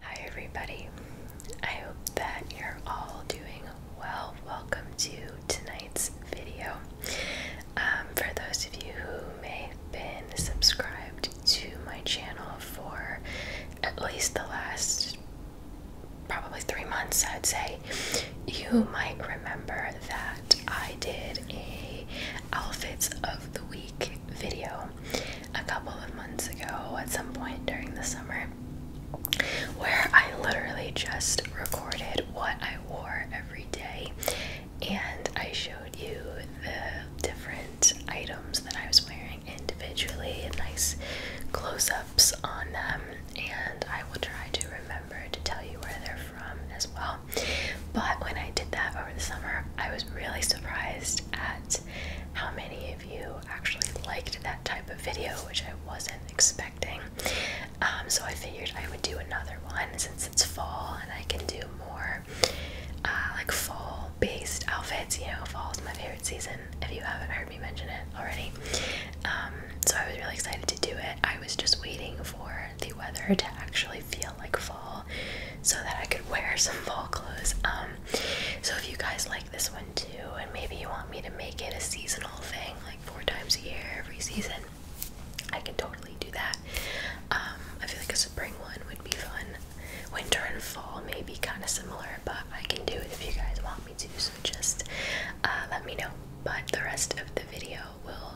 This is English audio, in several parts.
Hi, everybody. I hope that you're all doing well. Welcome to tonight's video. Um, for those of you who may have been subscribed to my channel for at least the last probably three months, I'd say, you might remember that I did a outfits of the week video a couple of months ago at some point during the summer where I literally just recorded what I wore every day and I showed you the different items that I was wearing drawing individually, nice close ups on them, and I will try to remember to tell you where they're from as well. But when I did that over the summer, I was really surprised at how many of you actually liked that type of video, which I wasn't expecting. Um, so I figured I would do another one since it's fall and I can do more uh, like fall based outfits. You know, fall is my favorite season. If you haven't heard me mention it already. Um, so I was really excited to do it. I was just waiting for the weather to actually feel like fall so that I could wear some fall clothes. Um, so if you guys like this one too, and maybe you want me to make it a seasonal thing, like four times a year, every season, I can totally do that. Um, I feel like a spring one would be fun. Winter and fall may be kind of similar, but I can do it if you guys want me to, so just uh, let me know. But the rest of the video will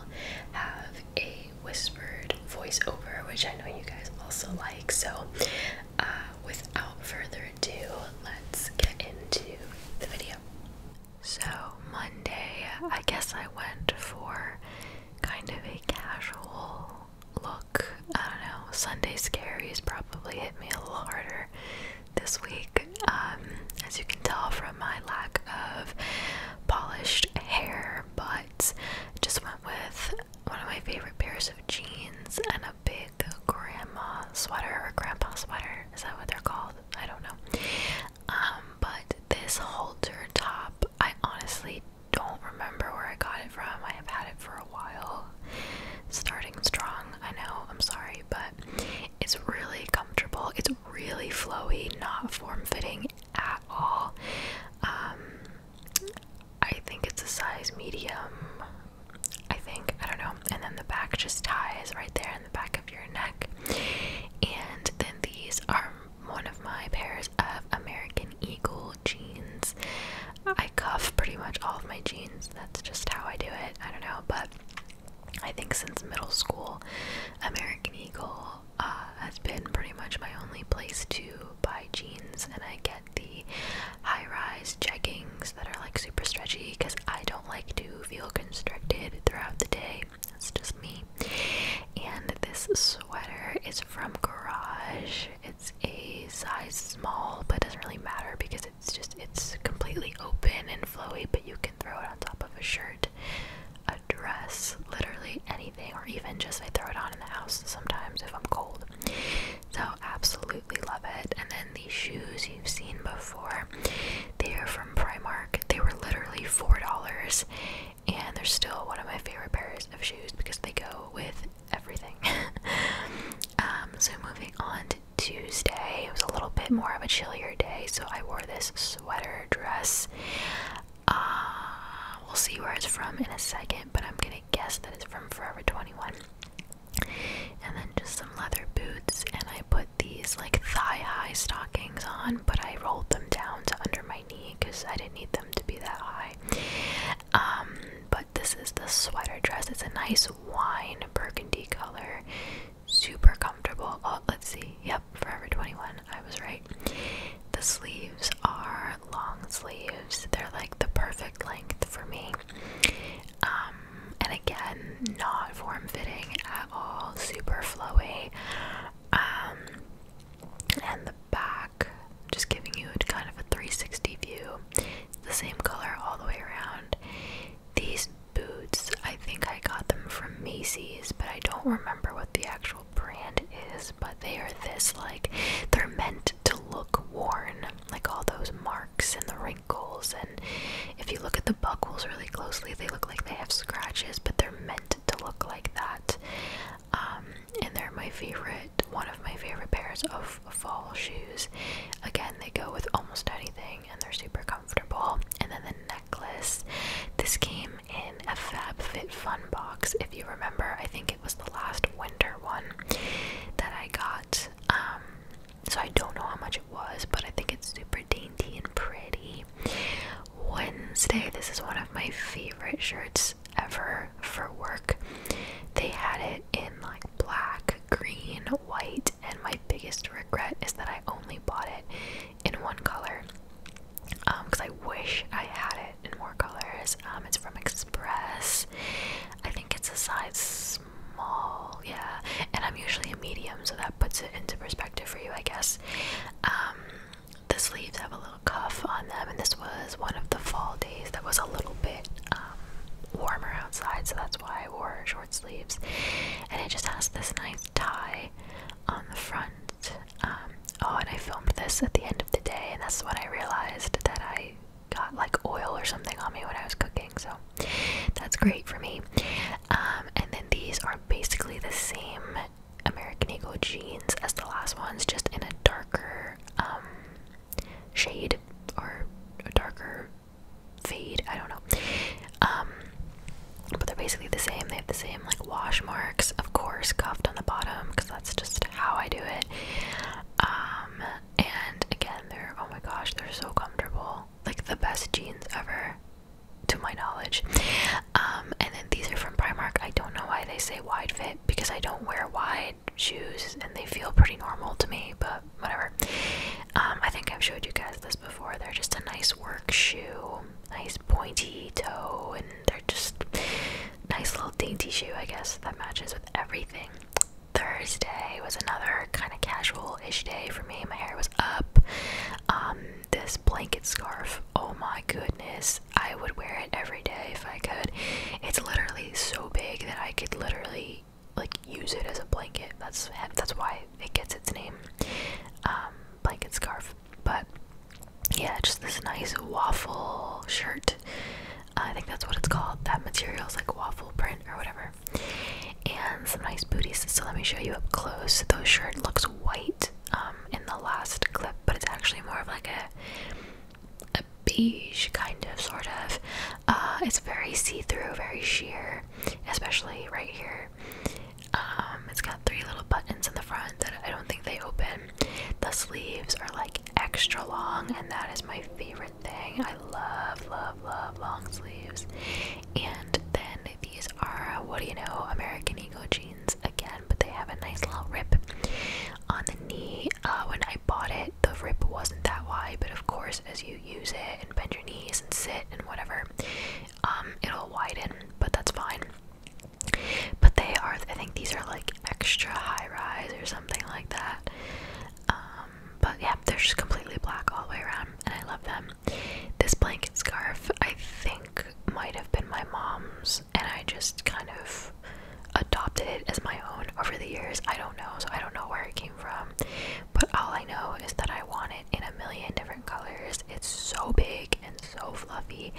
have a whispered voiceover, which I know you guys also like. So, uh, without further ado, let's get into the video. So, Monday, I guess I went for kind of a casual look. I don't know, Sunday scaries probably hit me a little harder this week. Um, as you can tell from my lack of polished hair, but just went with one of my favorite pairs of jeans and a big grandma sweater or grandpa sweater. Is that what they're called? I don't know. Um, but this halter top, I honestly don't remember where I got it from. I have had it for a while. Starting strong, I know, I'm sorry, but it's really comfortable. It's really flowy, not form fitting at all. Um, I think it's a size medium. I think, I don't know. And then the back just ties right there in the back of your neck. And then these are one of my pairs of American Eagle jeans. I cuff pretty much all of my jeans. That's just how I do it. I don't know, but I think since middle school, American Eagle uh, has been pretty much my only place to buy jeans, and I get the high-rise jeggings that are like super stretchy because I don't like to feel constricted throughout the day. That's just me. And this sweater is from Garage. It's a size small, but it doesn't really matter because it's just it's completely open and flowy, but you can throw it on top of a shirt, a dress, literally anything, or even just I throw it on in the house sometimes if I'm cold. So absolutely love it. And then these shoes you've seen before. They are from Primark. They were literally four dollars and they're still one of my favorite pairs of shoes because they go with everything. um, so moving on Tuesday. It was a little bit more of a chillier day, so I wore this sweater dress. Uh, we'll see where it's from in a second, but I'm gonna guess that it's from Forever 21. And then just some leather boots, and I put these like thigh high stockings on, but I rolled them down to under my knee because I didn't need them to be that high. Um, but this is the sweater dress, it's a nice wine burgundy color super comfortable. Oh, let's see. Yep, Forever 21. I was right. The sleeves are long sleeves. They're like the perfect length for me. Um, and again, not form fitting at all, super flowy. Um, and the back, just giving you kind of a 360 view. the same color all the way around. These boots, I think I got them from Macy's, but I don't remember what the actual brand is. But they are this like they're meant to look worn, like all those marks and the wrinkles. And if you look at the buckles really closely, they look like they have scratches, but they're meant to look like that. Um, and they're my favorite, one of my favorite pairs of fall shoes. Again, they go with almost anything and they're super comfortable. And then the necklace. This came in a FabFitFun box. If you remember, I think it was the last winter one that I got. Um, so I don't know how much it was, but I think it's super dainty and pretty. Wednesday, this is one of my favorite shirts ever for work. They had it in like black, green, white, and my biggest regret is that I only bought it in one color. because um, I wish I had it in more colors. Um, it's from Express. I think it's a size small, yeah. And I'm usually a medium, so that puts it into perspective for you, I guess. Um, the sleeves have a little cuff on them, and this was one of the fall days that was a little bit warmer outside, so that's why I wore short sleeves, and it just has this nice tie on the front. Um, oh, and I filmed this at the end of the day, and that's when I realized that I got like oil or something on me when I was cooking, so that's great for me. Um, and then these are basically the same American Eagle jeans as the last ones, just in a darker um, shade or a darker fade. I don't know. Um, but they're basically the same. They have the same like wash marks, of course, cuffed on the bottom because that's just how I do it. Um, and again, they're oh my gosh, they're so comfortable. Like the best jeans ever, to my knowledge. Um, and then these are from Primark. I don't know why they say wide fit because I don't wear wide shoes and they feel pretty normal to me, but whatever. Um, I think I've showed you guys this before. They're just a nice work shoe, nice pointy toe, and they're just nice little dainty shoe, I guess, that matches with everything. Thursday was another kind of casual-ish day for me. My hair was up. Um, this blanket scarf, oh my goodness, I would wear it every day if I could. It's literally so big that I could literally like use it as a blanket. That's that's why it gets its name, um, blanket scarf. But yeah, just this nice waffle shirt. Uh, I think that's what it's called. That material is like waffle print or whatever. And some nice booties. So let me show you up close. Those shirt looks white um, in the last clip, but it's actually more of like a a beige kind of sort of. Uh, it's very see through, very sheer especially right here. Um, it's got three little buttons in the front that I don't think they open. The sleeves are like extra long, and that is my favorite thing. I love, love, love long sleeves. And then these are, what do you know, American Eagle jeans again, but they have a nice little rip on the knee. Uh, when I bought it, the rip wasn't that wide, but of course, as you use it and bend your knees and sit and whatever, um, it'll widen, but that's fine. But they are, I think these are like extra high rise or something like that. Um, but yeah, they're just completely black all the way around, and I love them. This blanket scarf, I think, might have been my mom's, and I just kind of adopted it as my own over the years. I don't know, so I don't know where it came from, but all I know is that I want it in a million different colors. It's so big and so fluffy.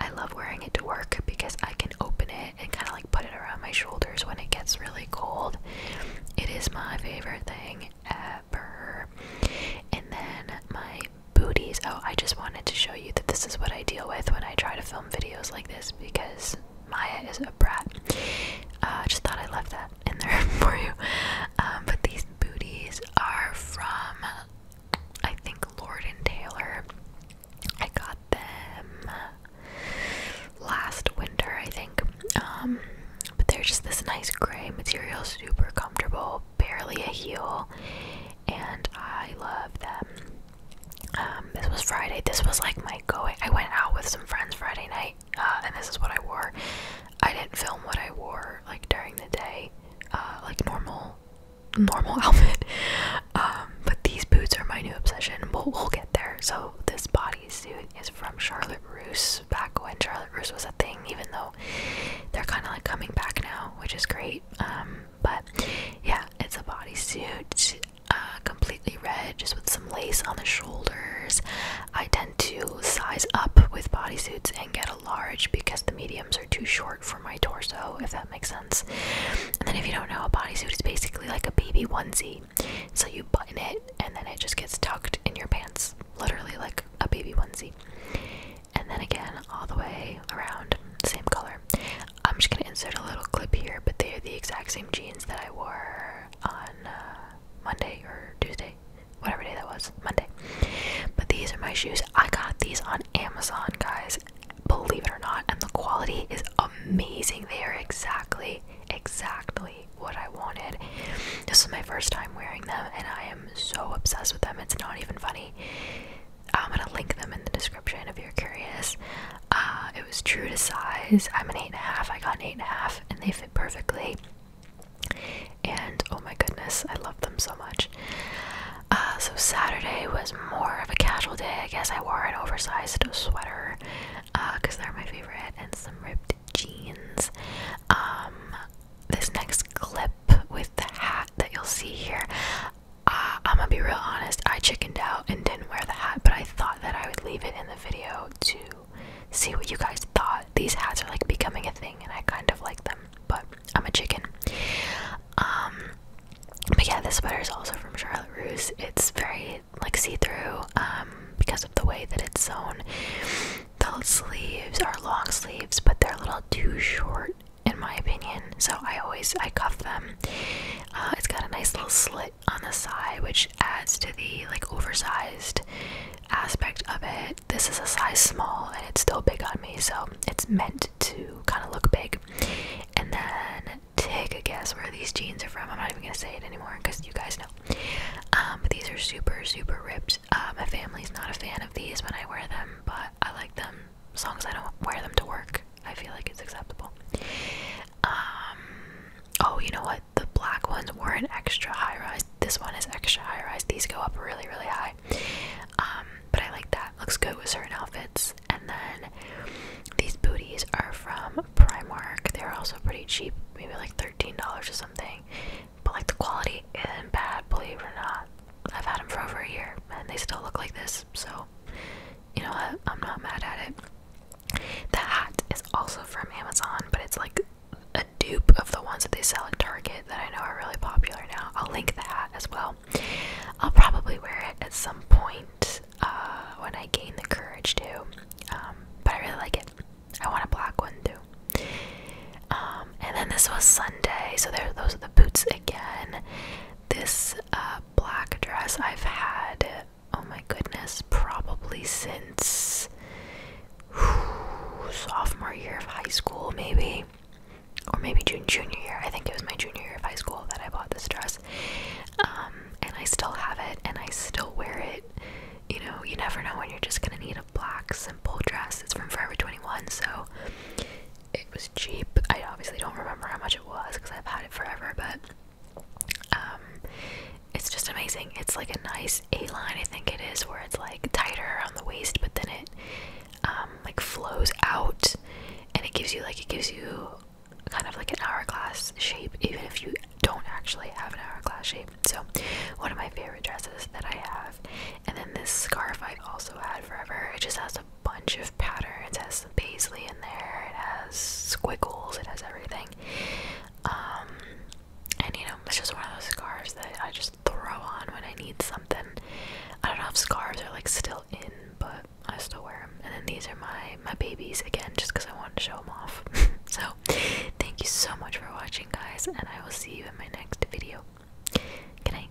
I love wearing it to work because I can open it and kind of like put it around my shoulders when it gets really cold. It is my favorite thing ever. And then my booties. Oh, I just wanted to show you that this is what I deal with when I try to film videos like this because Maya is a brat. Uh, I just thought I love that that in there for you. Um, but these booties are from, I think, Lord and Taylor. I got them last winter, I think. Um, but they're just this nice gray material, super comfortable, barely a heel, and I love them. Um, this was Friday. This was like my going. I went out with some friends Friday night, uh, and this is what I wore. I didn't film what I wore like during the day, uh, like normal, normal outfit. Um, but these boots are my new obsession. We'll, get there. So this bodysuit is from Charlotte Russe back when Charlotte Russe was a thing, even though they're kind of like coming back now, which is great. Um, but yeah, it's a bodysuit, uh, completely red, just with some lace on the shoulders. I tend to size up with bodysuits and get a large because the mediums are too short for my torso, if that makes sense. And then, if you don't know, a bodysuit is basically like a baby onesie. So you button it and then it just gets tucked in your pants, literally like a baby onesie. And then again, all the way around, same color. I'm just gonna insert a little clip here, but they are the exact same jeans that I wore on uh, Monday or Tuesday whatever day that was, Monday. But these are my shoes. I got these on Amazon, guys, believe it or not, and the quality is amazing. They are exactly, exactly what I wanted. This is my first time wearing them, and I am so obsessed with them. It's not even funny. Uh, I'm gonna link them in the description if you're curious. Uh, it was true to size. I'm an eight and a half. I got an eight and a half, and they fit perfectly and oh my goodness, I love them so much. Uh, so Saturday was more of a casual day. I guess I wore an oversized sweater because uh, they're my favorite, and some ripped jeans. Um, this next clip with the hat that you'll see here, uh, I'm gonna be real honest. I chickened out and didn't wear the hat, but I thought that I would leave it in the video too see what you guys thought. These hats are like becoming a thing, and I kind of like them, but I'm a chicken. Um, but yeah, this sweater is also from Charlotte Russe. It's very like see-through um, because of the way that it's sewn. The sleeves are long sleeves, but they're a little too short in my opinion. So I always I cuff them. Uh, it's got a nice little slit on the side, which adds to the like oversized aspect of it this is a size small and it's still big on me, so it's meant to kind of look big. And then take a guess where these jeans are from. I'm not even gonna say it anymore because you guys know. Um, these are super, super ripped. Uh, my family's not a fan of these when I wear them, but I like them as long as I don't wear them to work. I feel like it's acceptable. Um, oh, you know what? the black ones weren't extra high rise. This one is extra high rise. These go up really, really high. Um, but I like that. Looks good with certain outfits. And then these booties are from Primark. They're also pretty cheap, maybe like $13 or something. But like the quality isn't bad, believe it or not. I've had them for over a year and they still look like this. So, you know what? I'm not mad at it. The hat is also from Amazon, but it's like a dupe of the ones that they sell at Target that I know are really popular now. I'll link that as well. I'll probably wear it at some point uh, when I gain the courage to, um, but I really like it. I want a black one too. Um, and then this was Sunday, so there, those are the boots again. This uh, black dress I've had, oh my goodness, probably since sophomore year of high school, maybe, or maybe June junior year. I think it was my junior year of high school that I bought this dress, um, and I still have it, and I still wear it. You know, you never know when you're just gonna need a black simple dress. It's from Forever 21, so it was cheap. I obviously don't remember how much it was because I've had it forever, but um, it's just amazing. It's like a nice there's a line I think it is where it's like tighter around the waist, but then it um, like flows out, and it gives you like it gives you kind of like an hourglass shape, even if you don't actually have an hourglass shape. So one of my favorite dresses that I have, and then this scarf i also had forever. It just has a bunch of patterns. It has some paisley in there. It has squiggles. It has everything. Um, and you know, it's just one of those scarves that I just throw on when I need something. I don't know if scarves are like still in, but I still wear them. And then these are my my babies again, just because I wanted to show them off. so thank you so much for watching, guys, and I will see you in my next video. Good